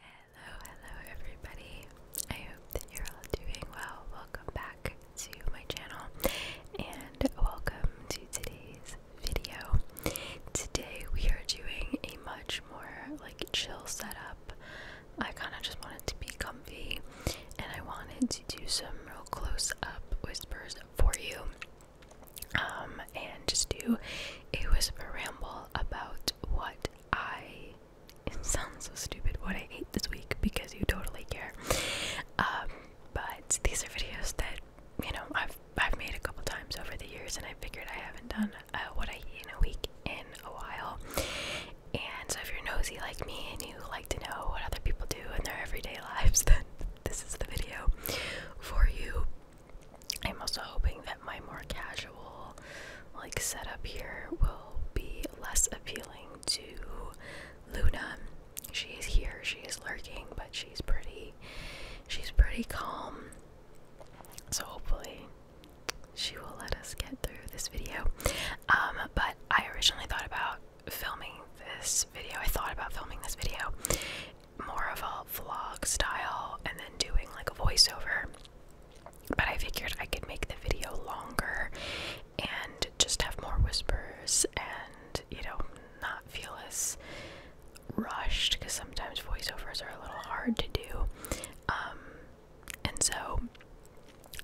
Hello, hello everybody. I hope that you're all doing well. Welcome back to my channel and welcome to today's video. Today we are doing a much more like chill setup. I kind of just wanted to be comfy and I wanted to do some real close up whispers for you. Um, and just do a whisper ramble about what I it sounds so stupid what I ate this week because you totally care. Um, but these are videos that you know I've I've made a couple times over the years, and I figured I haven't done uh, what I eat in a week in a while. And so, if you're nosy like me and you like to know what other people do in their everyday lives, then this is the video for you. I'm also hoping that my more casual like setup here will be less appealing to Luna. She's here, she is lurking, but she's pretty she's pretty calm. So hopefully she will let us get through this video. Um, but I originally thought about filming this video. I thought about filming this video more of a vlog style and then doing like a voiceover. But I figured I could make the video longer and just have more whispers and, you know, not feel as rushed because sometimes voiceovers are a little hard to do. Um, and so,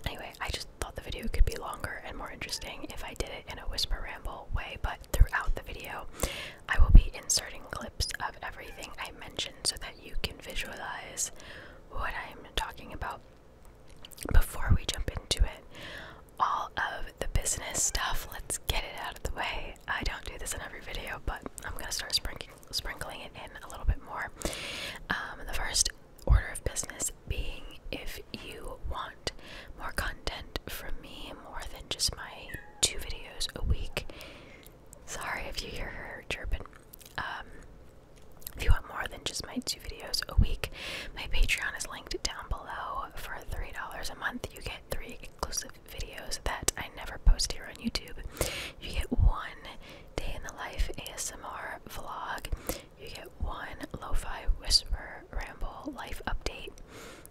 anyway, I just thought the video could be longer and more interesting if I did it in a whisper ramble way. But throughout the video, I will be inserting clips of everything I mentioned so that you can visualize what I'm talking about. Before we jump into it, all of the business stuff, let's get it out of the way. I don't do this in every video, but I'm going to start sprinkling, it in a little bit more. Um, the first order of business being if you want more content from me, more than just my two videos a week, Sorry if you hear her chirping. Um, if you want more than just my two videos a week, my Patreon is linked down below. For $3 a month, you get three exclusive videos that I never post here on YouTube. You get one day in the life ASMR vlog, you get one lo fi whisper ramble life update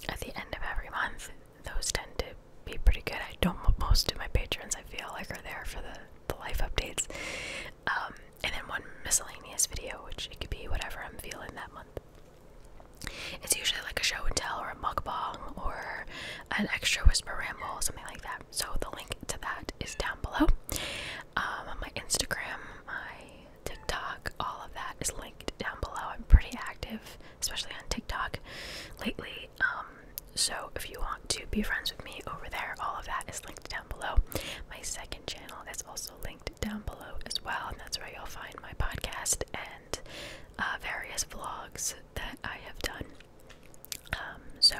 at the end of every month those tend to be pretty good. I don't. Most of my patrons, I feel like, are there for the the life updates, um, and then one miscellaneous video, which it could be whatever I'm feeling that month. It's usually like a show and tell or a mug bong or an extra whisper ramble, something like that. So the link to that is down below. Um, on my Instagram, my TikTok, all of that is linked down below. I'm pretty active especially on TikTok lately. Um, so if you want to be friends with me over there, all of that is linked down below. My second channel is also linked down below as well, and that's where you'll find my podcast and uh, various vlogs that I have done. Um, so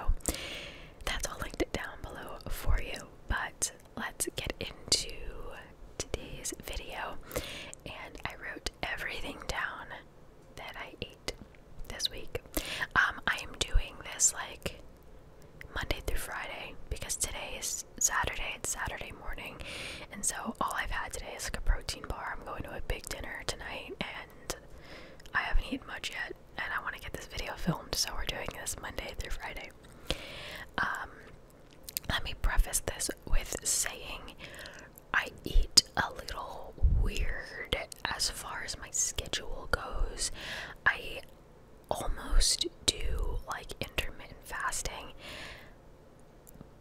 that's all linked down below for you. But let's get into today's video and I wrote everything down that I ate this week. Um, I am doing this like Monday through Friday because today is Saturday, it's Saturday morning, and so all I've had today is like a protein bar. I'm going to a big dinner tonight, and I haven't eaten much yet, and I want to get this video filmed, so we're doing this Monday through Friday. Um, let me preface this with saying I eat a little weird as far as my schedule goes. I almost do like intermittent fasting,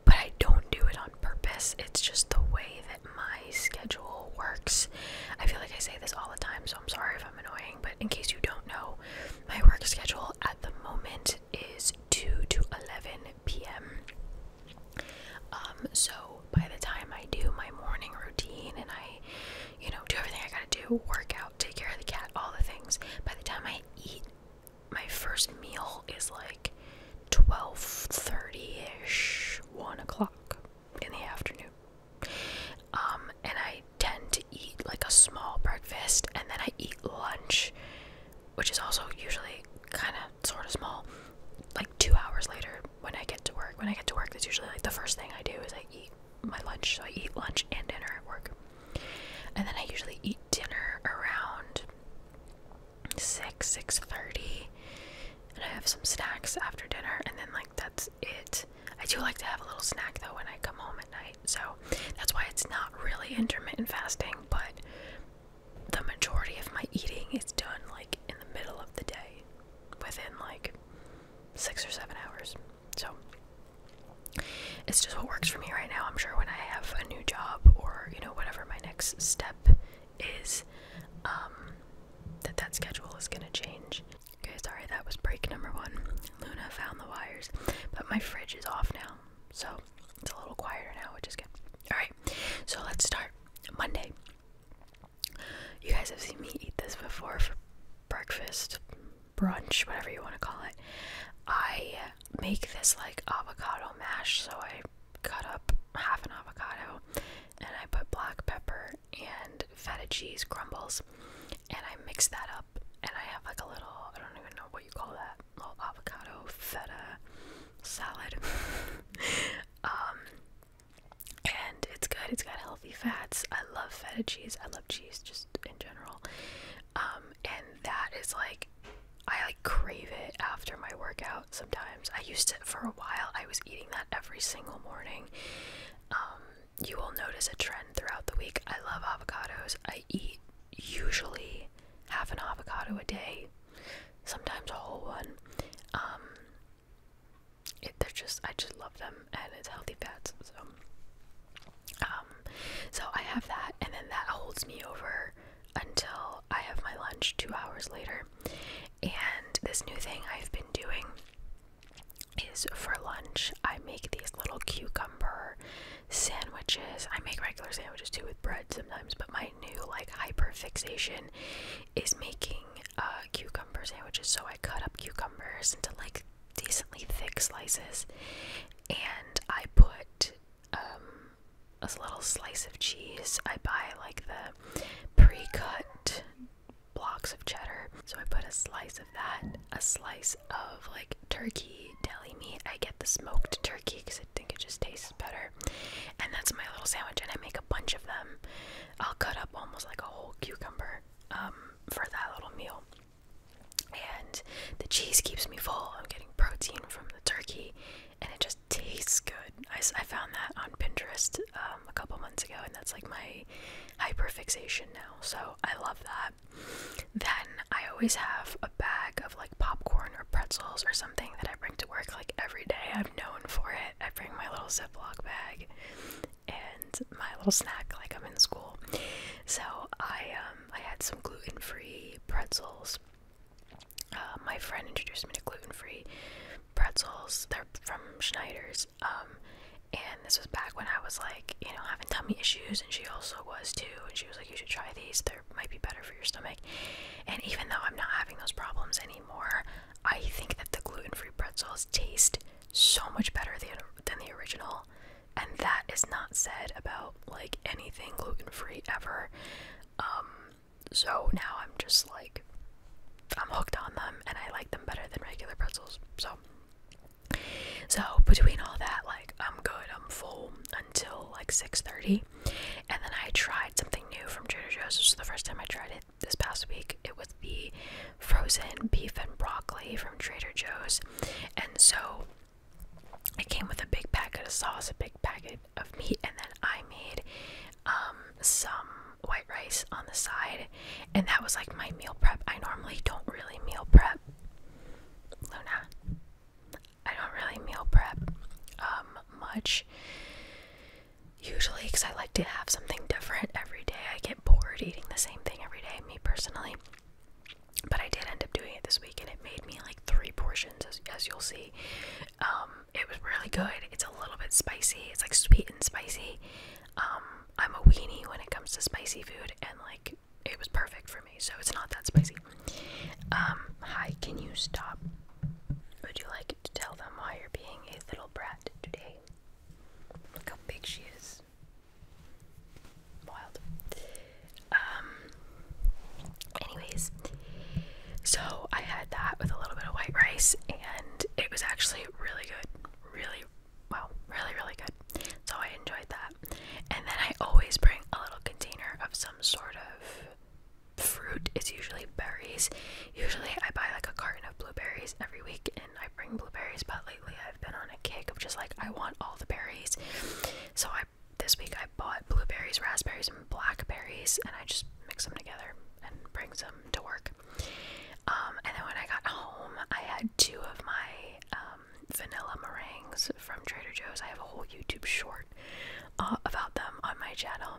but I don't do it on purpose. It's just the way that my schedule works. I feel like I say this all the time, so I'm sorry if I'm annoying, but in case you don't know, my work schedule at the moment is 2 to 11 p.m. Um, so by the time I do my morning routine and I, you know, do everything I gotta do, work out, take care of the cat, all the things, by the time I eat, my first meal is like 12.30ish, 1 o'clock in the afternoon. Um, and I tend to eat like a small breakfast and then I eat lunch which is also usually kind of sort of small. Like two hours later, when I get to work, when I get to work, that's usually like the first thing I do is I eat my lunch. So I eat lunch and dinner at work, and then I usually eat dinner around six six thirty, and I have some snacks after dinner, and then like that's it. I do like to have a little snack though when I come home at night. So that's why it's not really intermittent fasting, but the majority of my eating is done like in the middle of the day within like six or seven hours. So it's just what works for me right now. I'm sure when I have a new job or, you know, whatever my next step is, um, that that schedule is going to change. Okay, sorry, that was break number one. Luna found the wires, but my fridge is off now. So it's a little quieter now, which is good. Alright, so let's start. Monday. You guys have seen me eat this before for breakfast, brunch, whatever you want to call it. I make this like avocado mash, so I cut up half an avocado and I put black pepper and feta cheese crumbles and I mix that up and I have like a little I don't even know what you call that little avocado feta salad. Um, and it's good. It's got healthy fats. I love feta cheese. I love cheese just in general. Um, and that is like I like crave it after my workout sometimes. I used to for a while. I was eating that every single morning. Um, you will notice a trend throughout the week. I love avocados. I I eat usually half an avocado a day, sometimes a whole one. Um, they're just I just love them, and it's healthy fats. So, um, so I have that, and then that holds me over until I have my lunch two hours later. And this new thing I've been doing is for lunch, I make these little cucumber sandwiches. I make regular sandwiches too with bread sometimes, but my new like hyper fixation is making uh, cucumber sandwiches. So I cut up cucumbers into like decently thick slices, and I put um, a little slice of cheese. I buy like the pre-cut blocks of cheddar, so I put a slice of that, a slice of like turkey, deli meat. I get the smoked turkey because I think it just tastes better. And that's my little sandwich, and I make a bunch of them. I'll cut up almost like a whole cucumber um, for that little meal. And the cheese keeps me full. I'm getting protein from the turkey, and it just tastes good. I, I found that on Pinterest um, a couple months ago, and that's like my hyperfixation now. So I love that. Then I always have a bag of like popcorn or pretzels or something that I bring to work like every day. I'm known for it. I bring my little Ziploc bag and my little snack like I'm in school. So I um, I had some gluten-free pretzels. Uh, my friend introduced me to gluten-free pretzels. They're from Schneider's. Um, and this was back when I was like, you know, having tummy issues, and she also was too. She was like, you should try these. They are might be better for your stomach. And even though I'm not having those problems anymore, I think that the gluten-free pretzels taste so much better than, than the original. And that is not said about like anything gluten-free ever. Um, so now I'm just like, I'm hooked on them and I like them better than regular pretzels. So so between all that, like I'm good, I'm full until like 6:30, and then I tried something new from Trader Joe's. This is the first time I tried it this past week. It was the frozen beef and broccoli from Trader Joe's, and so it came with a big packet of sauce, a big packet of meat, and then I made um, some white rice on the side, and that was like my meal prep. I normally don't really meal prep. Luna. I don't really meal prep um, much. Usually cuz I like to have something different every day. I get bored eating the same thing every day, me personally. But I did end up doing it this week and it made me like three portions as, you'll see. Um, it was really good. It's a little bit spicy. It's like sweet and spicy. Um, I'm a weenie when it comes to spicy food and like it was perfect for me, so it's not that spicy. Um, hi, can you stop? Would you like to tell them why you're being a little brat today? Look how big she is. Wild. Um, anyways, so I had that with a little bit of white rice, and it was actually really good. Really, wow, really, really good. So I enjoyed that. And then I always bring a little container of some sort of fruit. It's usually berries. Usually I buy like a carton of blueberries every week and I bring blueberries, but lately I've been on a kick of just like I want all the berries. So I this week I bought blueberries, raspberries, and blackberries, and I just mix them together and bring them to work. Um, and then when I got home, I had two of my um, vanilla meringues from Trader Joe's. I have a whole YouTube short uh, about them on my channel.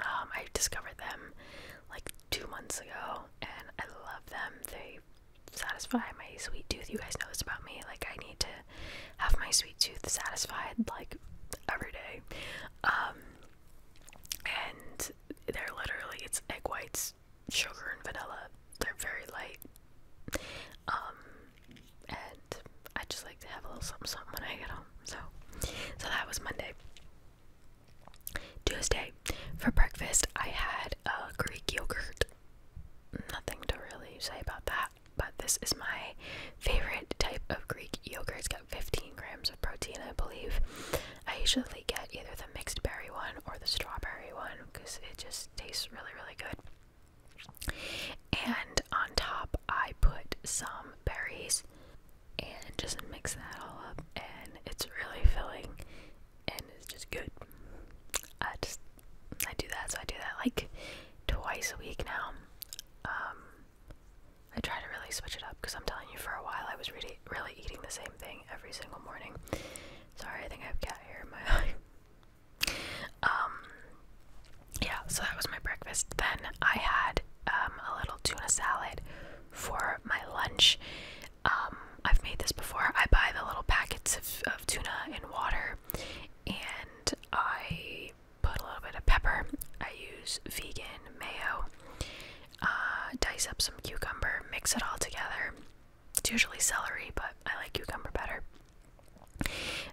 Um, I discovered them like two months ago, and I love them. They satisfy my sweet tooth. You guys know this about me. Like I need to have my sweet tooth satisfied like every day. Um, and they're literally it's egg whites sugar and vanilla. They're very light. Um, and I just like to have a little something something when I get home. So, so that was Monday. Tuesday, for breakfast, I had a Greek yogurt. Nothing to really say about that, but this is my favorite type of Greek yogurt. It's got 15 grams of protein, I believe. I usually get either the mixed berry one or the strawberry one because it just tastes really, really good. And on top, I put some berries and just mix that all up, and it's really filling and it's just good. I just I do that, so I do that like twice a week now. Um, I try to really switch it up because I'm telling you, for a while I was really, really eating the same thing every single morning, Sorry, I think I have cat hair my Um, yeah, so that was my breakfast. Then I had um, a little tuna salad for my lunch. Um, I've made this before. I buy the little packets of, of tuna in water and I put a little bit of pepper. I use vegan mayo uh, dice up some cucumber, mix it all together. It's usually celery, but I like cucumber better.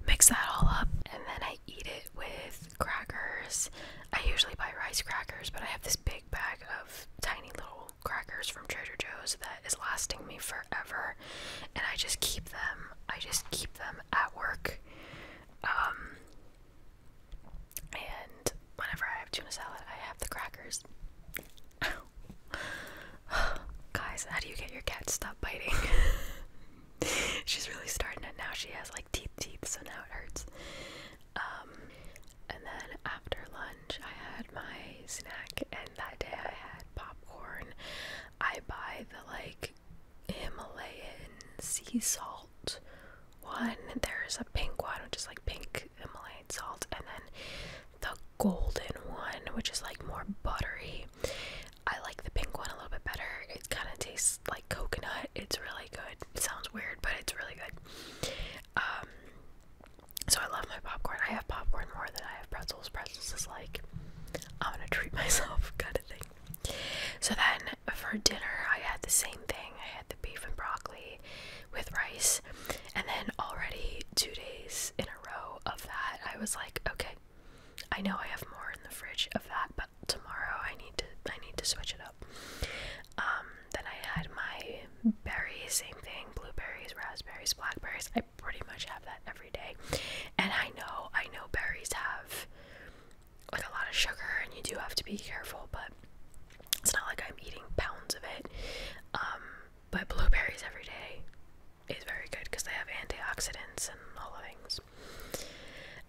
Mix that all up, and then I eat it with crackers. I usually buy rice crackers, but I have this big bag of tiny little crackers from Trader Joe's that is lasting me forever, and I just keep them. I just keep them at work. Um, and whenever I have tuna salad, I have the crackers. Guys, how do you get your cat to stop biting? She's really starting it now. She has like teeth, teeth, so now it hurts. Um, and then after lunch, I had my snack, and that day I had popcorn. I buy the like Himalayan sea salt one. There's a pink one, which is like pink Himalayan salt, and then the golden one, which is like more buttery. I like the pink one a little bit better. It kind of tastes like coconut. It's really good. It sounds weird, but it's really good. Um, so I love my popcorn. I have popcorn more than I have pretzels. Pretzels is like I'm gonna treat myself kind of thing. So then for dinner, I had the same thing. I had the beef and broccoli with rice. And then already two days in a row of that, I was like, okay, I know I have more in the fridge of that, but tomorrow I need to I need to switch it up. Um, then I had my berries, same thing, blueberries, raspberries, blackberries. I pretty much have that every day. And I know, I know berries have like a lot of sugar and you do have to be careful, but it's not like I'm eating pounds of it. Um, but blueberries every day is very good because they have antioxidants and all the things.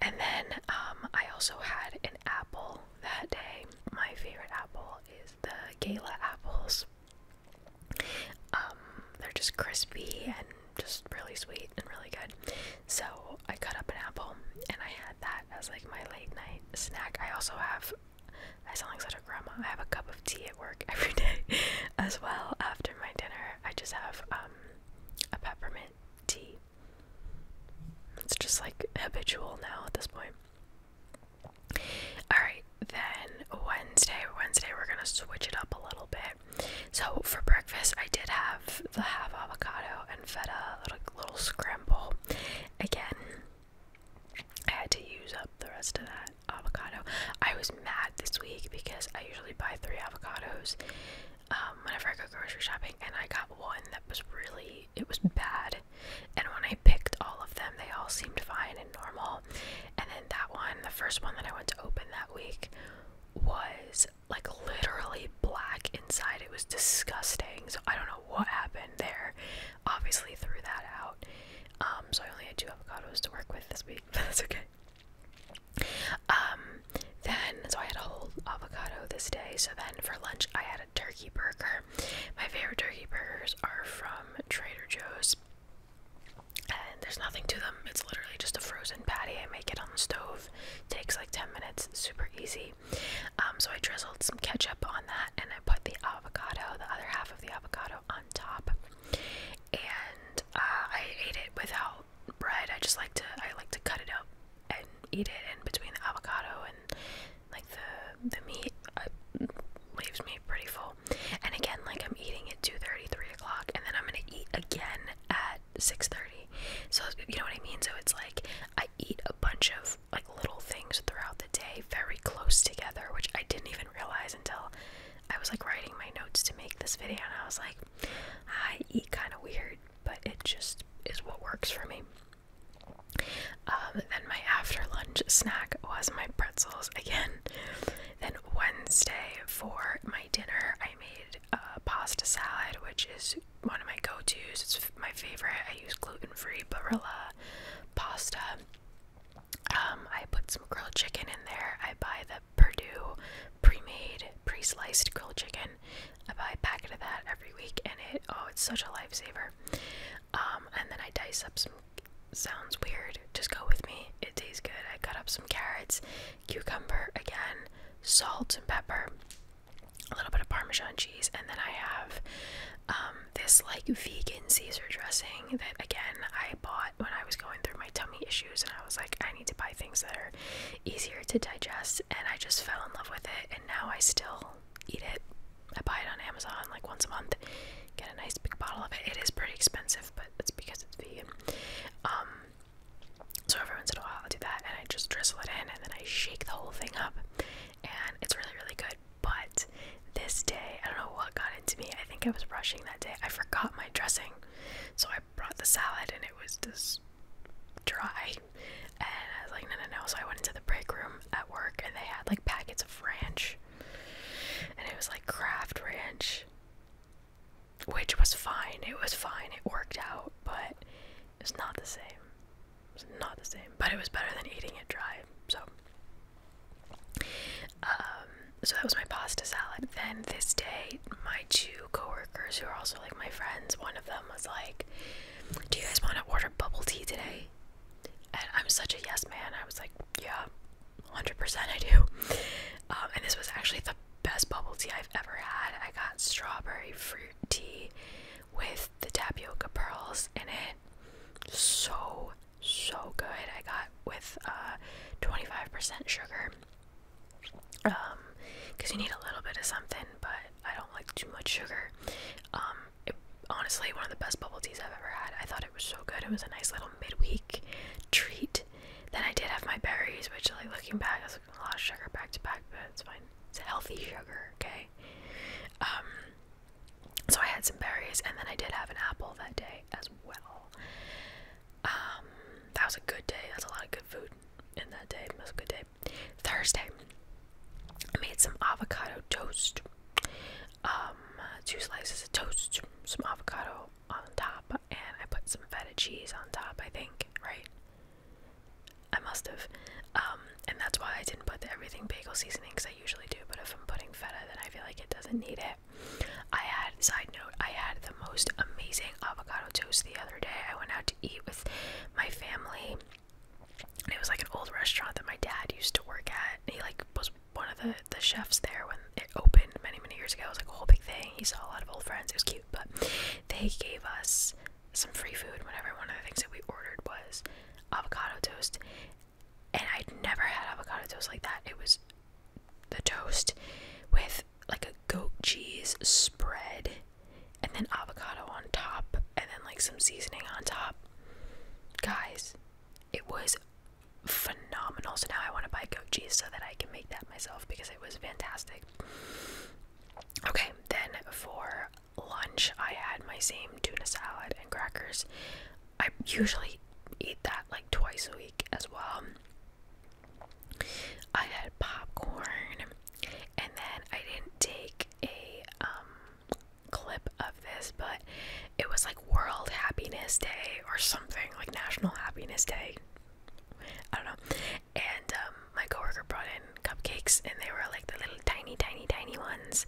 And then um, I also had an apple that day. My favorite apple is the Gala apples. Um, they're just crispy and just really sweet and really good. So I cut up an apple and I had that as like my late night snack. I also have I sound like such a grandma. I have a cup of tea at work every day as well after my dinner. I just have um, a peppermint tea. It's just like habitual now at this point. Alright, then Wednesday, Wednesday we're gonna switch it up a little bit. So for breakfast I did have the half avocado and feta, little little scramble again, I had to use up the rest of that avocado. I was mad this week because I usually buy three avocados um, whenever I go grocery shopping, and I got one that was really it was bad. And when I picked all of them, they all seemed fine and normal. And then that one, the first one that I went to open that week, was like literally black inside. It was disgusting. So I don't know what happened there. Obviously threw that out. Um, so I only had two avocados to work with this week, but that's okay. Um, then, so I had a whole avocado this day. So then for lunch, I had a turkey burger. My favorite turkey burgers are from Trader Joe's. And there's nothing to them. It's literally just a frozen patty. I make it on the stove. Takes like 10 minutes. Super easy. Um, so I drizzled some ketchup on that and I put the avocado, the other half of the avocado, on top. And uh, I ate it without bread. I just like to I like to cut it out and eat it in between the avocado and like the the meat. leaves me pretty full. And again, like I'm eating at 2:30, 3 o'clock, and then I'm gonna eat again at 6:30. So you know what I mean? So it's like I eat a bunch of like little things throughout the day very close together, which I didn't even realize until I was like writing my notes to make this video and I was like, I eat kind of weird, but it just is what works for me. Um, then my after lunch snack was my pretzels again. Then Wednesday for my dinner, I made a uh, pasta salad, which is one of my go-to's. It's my favorite. I use gluten-free barilla pasta. Um, I put some grilled chicken in there. I buy the Purdue pre-made, pre-sliced grilled chicken. I buy a packet of that every week, and it oh, it's such a lifesaver. Um, and then I dice up some. Sounds weird. Just go with me. It tastes good. I cut up some carrots, cucumber again, salt and pepper a little bit of Parmesan cheese, and then I have um, this like vegan Caesar dressing that again I bought when I was going through my tummy issues, and I was like, I need to buy things that are easier to digest, and I just fell in love with it, and now I still eat it. I buy it on Amazon like once a month, get a nice big bottle of it. It is pretty expensive, but it's because it's vegan. Um, so every once in a while I'll do that and I just drizzle it in and then I shake the whole thing up and it's really really good. But this day, I don't know what got into me. I think I was brushing that day. I forgot my dressing. So I brought the salad and it was just dry. And I was like, no, no, no. So I went into the break room at work and they had like packets of ranch. And it was like craft ranch, which was fine. It was fine. It worked out. But it's not the same. It's not the same, but it was better than eating it dry. So, um, so that was my pasta salad. Then this day, my two coworkers who are also like my friends, one of them was like, "Do you guys want to order bubble tea today?" And I'm such a yes man. I was like, "Yeah, 100% I do." Um, and this was actually the best bubble tea I've ever had. I got strawberry fruit tea with the tapioca pearls in it. So, so good. I got with uh, 25% sugar. Um, because you need a little bit of something, but I don't like too much sugar. Um, honestly, one of the best bubble teas I've ever had. I thought it was so good. It was a nice little midweek treat. Then I did have my berries, which, like, looking back, a lot of sugar back to back, but it's fine. It's healthy sugar, okay? Um, so I had some berries, and then I did have an apple that day as well. Um, that was a good day. That's a lot of good food in that day. That was a good day. Thursday, I made some avocado toast. Um, two slices of toast, some avocado on top, and I put some feta cheese on top, I think, right? I must have. Um, and that's why I didn't put the everything bagel seasoning because I usually do. But if I'm putting feta, then I feel like it doesn't need it. I had, side note, I had the most amazing avocado toast the other day. I went out to eat with my family. And it was like an old restaurant that my dad used to work at. And he like was one of the, the chefs there when it opened many, many years ago. It was like a whole big thing. He saw a lot of old friends. It was cute. But they gave us some free food whenever one of the things that we ordered was avocado toast. And I'd never had avocado toast like that. It was the toast with like a goat cheese spread and then avocado on top and then like some seasoning on top. Guys, it was phenomenal. So now I want to buy goat cheese so that I can make that myself because it was fantastic. Okay, then for lunch, I had my same tuna salad and crackers. I usually eat that like twice a week as well. I had popcorn, and then I didn't take a um, clip of this, but it was like World Happiness Day or something like National Happiness Day. I don't know and um, my coworker brought in cupcakes, and they were like the little tiny, tiny, tiny ones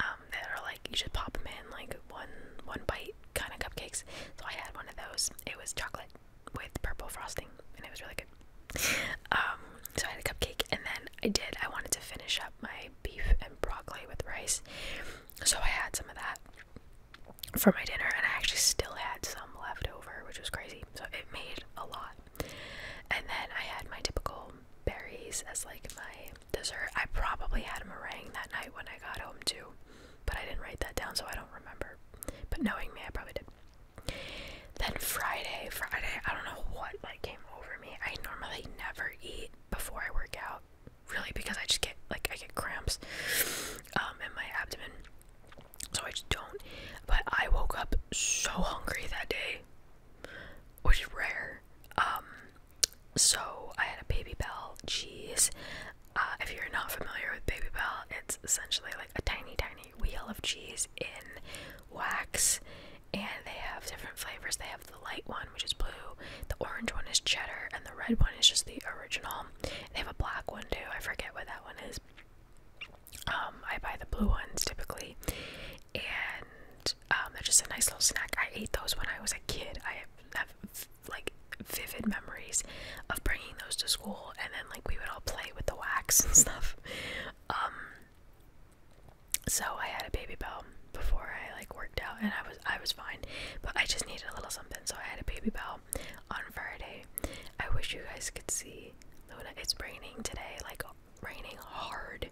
um, that are like you should pop them in like one one bite kind of cupcakes. So I had one of those. It was chocolate with purple frosting, and it was really good. Um, so I had a cupcake, and then I did. I wanted to finish up my beef and broccoli with rice, so I had some of that for my dinner, and I actually still had some left over, which was crazy. So it made a lot. And then I had my typical berries as like my dessert. I probably had a meringue that night when I got home too, but I didn't write that down, so I don't remember. But knowing me, I probably did. Then Friday, Friday, I don't know what like came over me. I normally never eat before I work out, really, because I just get like I get cramps um, in my abdomen so I just don't. But I woke up so hungry that day, which is rare. Um, so I had a Baby Bell cheese. Uh, if you're not familiar with Baby Bell, it's essentially like a tiny, tiny wheel of cheese in wax, and they have different flavors. They have the light one, which is blue, the orange one is cheddar, and the red one is just the original. They have a black one too. I forget what that one is. Um, I buy the blue ones typically, and um, they're just a nice little snack. I ate those when I was a kid. I have like vivid memories of bringing those to school, and then like we would all play with the wax and stuff. Um, so I had a baby bell before I like worked out, and I was I was fine, but I just needed a little something, so I had a baby bell. Um, on Friday. I wish you guys could see Luna. It's raining today, like raining hard.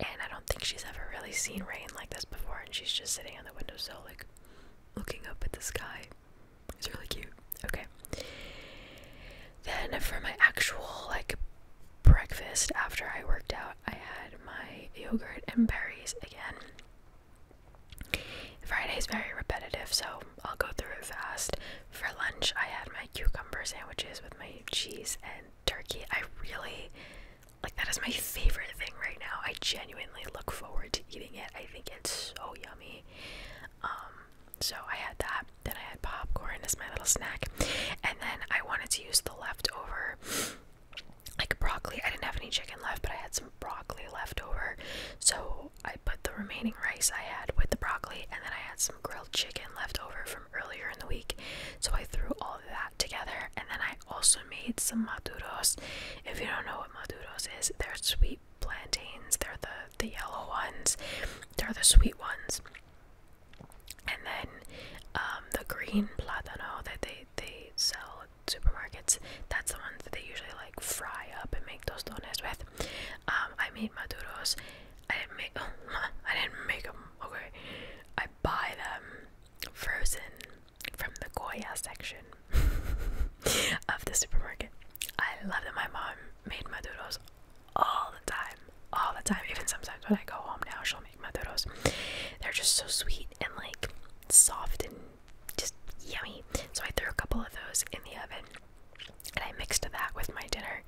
And I don't think she's ever really seen rain like this before. And she's just sitting on the windowsill, like looking up at the sky. It's really cute. Okay. Then for my actual like breakfast after I worked out, I had my yogurt and berries again. Friday is very repetitive, so I'll go through it fast. For lunch, I had my cucumber sandwiches with my cheese and turkey. I really like that is my favorite thing right now. I genuinely look forward to eating it. I think it's so yummy. Um, so I had that. Then I had popcorn as my little snack, and then I wanted to use the leftover like broccoli. I didn't have any chicken left, but I had some broccoli left so I put the remaining rice I had with the broccoli, and then I had some grilled chicken left over from earlier in the week. So I threw all of that together, and then I also made some maduros. If you don't know what maduros is, they're sweet plantains. They're the the yellow ones. They're the sweet ones. And then um, the green platano that they they sell supermarkets. That's the ones that they usually like fry up and make those donuts with. Um, I made maduros. I didn't make. I didn't make them. Okay, I buy them frozen from the Goya section of the supermarket. I love that my mom made maduros all the time, all the time. Even sometimes when I go home now, she'll make maduros. They're just so sweet and like soft and just yummy. So I threw a couple of those in the oven and I mixed that with my dinner,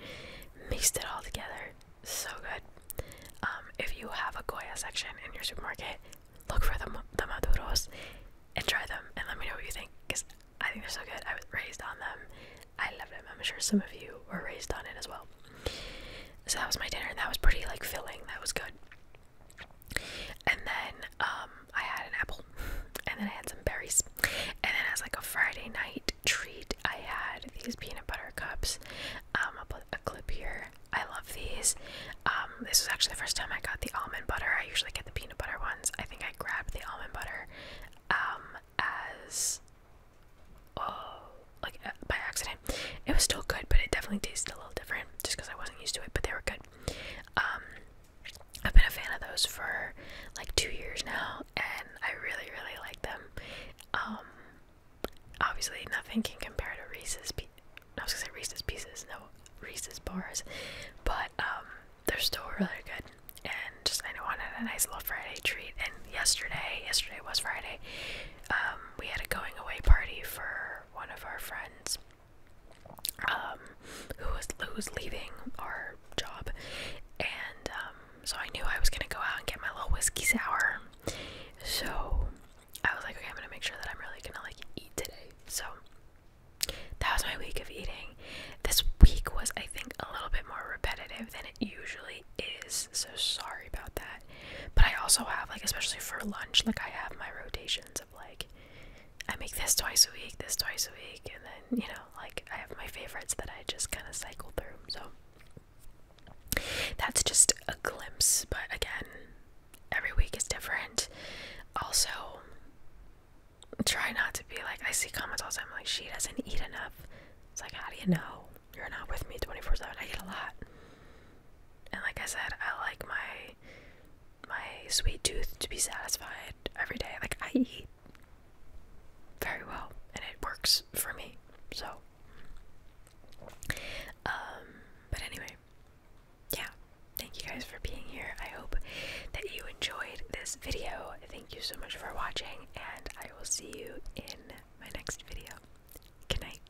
mixed it all together. So good. Um, if you have a Goya section in your supermarket, look for the, the Maduros and try them and let me know what you think because I think they're so good. I was raised on them. I love them. I'm sure some of you were raised on it as well. So that was my dinner and that was pretty like filling. That was good. And then um, I had an apple, and then I had some berries, and then as like a Friday night treat, I had these peanut butter cups. Um, I'll put a clip here. I love these. Um, this is actually the first time I got the almond butter. I usually get the peanut butter ones. I think I grabbed the almond butter as oh, like uh, by accident. It was still good, but it definitely tasted a little different just because I wasn't used to it. But they were good. Um, I've been a fan of those for like two years now, and I really, really like them. Um, obviously, nothing can compare to Reese's. I was gonna say Reese's Pieces, no Reese's bars, but um, they're still really good. And just I know I a nice little Friday treat. And yesterday, yesterday was Friday. we had a going away party for one of our friends, um, who was who's leaving our job, and um, so I knew I was gonna go out and get my little whiskey sour. So I was like, okay, I'm gonna make sure that I'm really gonna like eat today. So that was my week of eating. This week was, I think, a little bit more repetitive than it usually is. So sorry about that. But I also have like, especially for lunch, like I have my rotations like I make this twice a week, this twice a week, and then you know, like I have my favorites that I just kind of cycle through. So that's just a glimpse, but again, every week is different. Also, try not to be like I see comments all the time like she doesn't eat enough. It's like, how do you know? You're not with me 24 7. I eat a lot and like I said, I like my my sweet tooth to be satisfied every day. Like I eat very well, and it works for me. So, um, but anyway, yeah. Thank you guys for being here. I hope that you enjoyed this video. Thank you so much for watching, and I will see you in my next video. Good night.